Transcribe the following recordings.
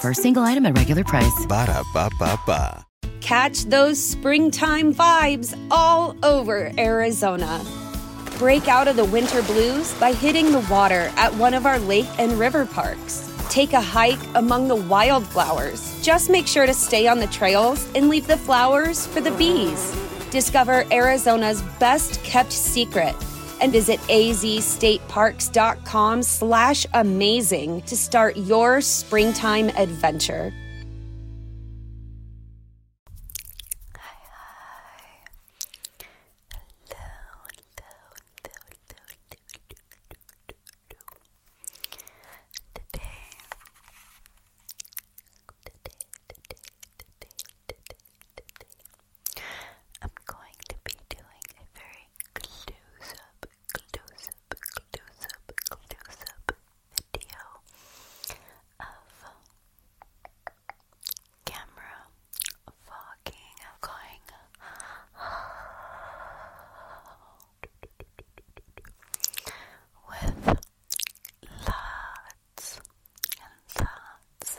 For a single item at regular price. Catch those springtime vibes all over Arizona. Break out of the winter blues by hitting the water at one of our lake and river parks. Take a hike among the wildflowers. Just make sure to stay on the trails and leave the flowers for the bees. Discover Arizona's best kept secret and visit AZ State stateparks.com slash amazing to start your springtime adventure today I'm going to be doing a very close-up, close-up, close-up, close-up video of camera fogging. I'm going with lots and lots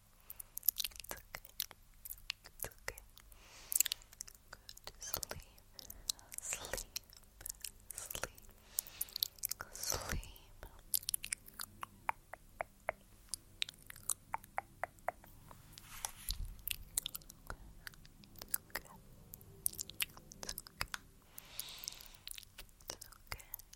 It's okay. okay. Sleep. Sleep. Sleep. Sleep. okay. okay. okay.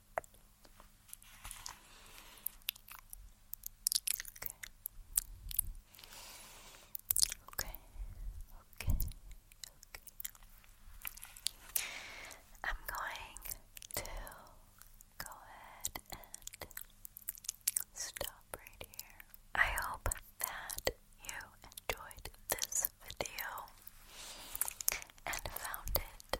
Okay. Okay. Okay. Okay. I'm going to go ahead and stop right here. I hope that you enjoyed this video and found it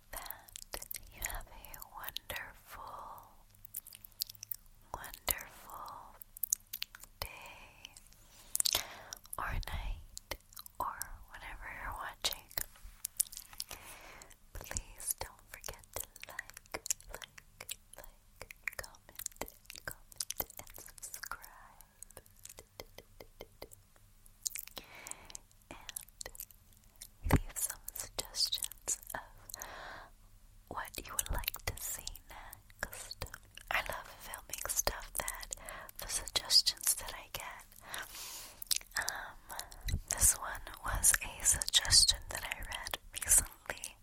that you have a wonderful, wonderful day or night or whenever you're watching. Please don't forget to like, like, like, comment, comment, and subscribe leave some suggestions of what you would like to see next. I love filming stuff that the suggestions that I get. Um, this one was a suggestion that I read recently,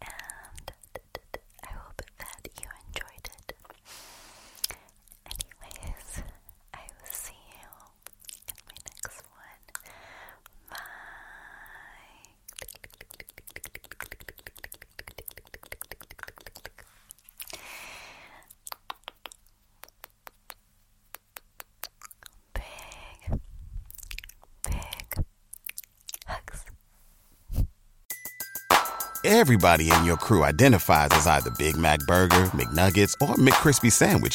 and I hope that you enjoyed it. Anyways, I will see you my next one, my big, big hugs. Everybody in your crew identifies as either Big Mac Burger, McNuggets, or McCrispy Sandwich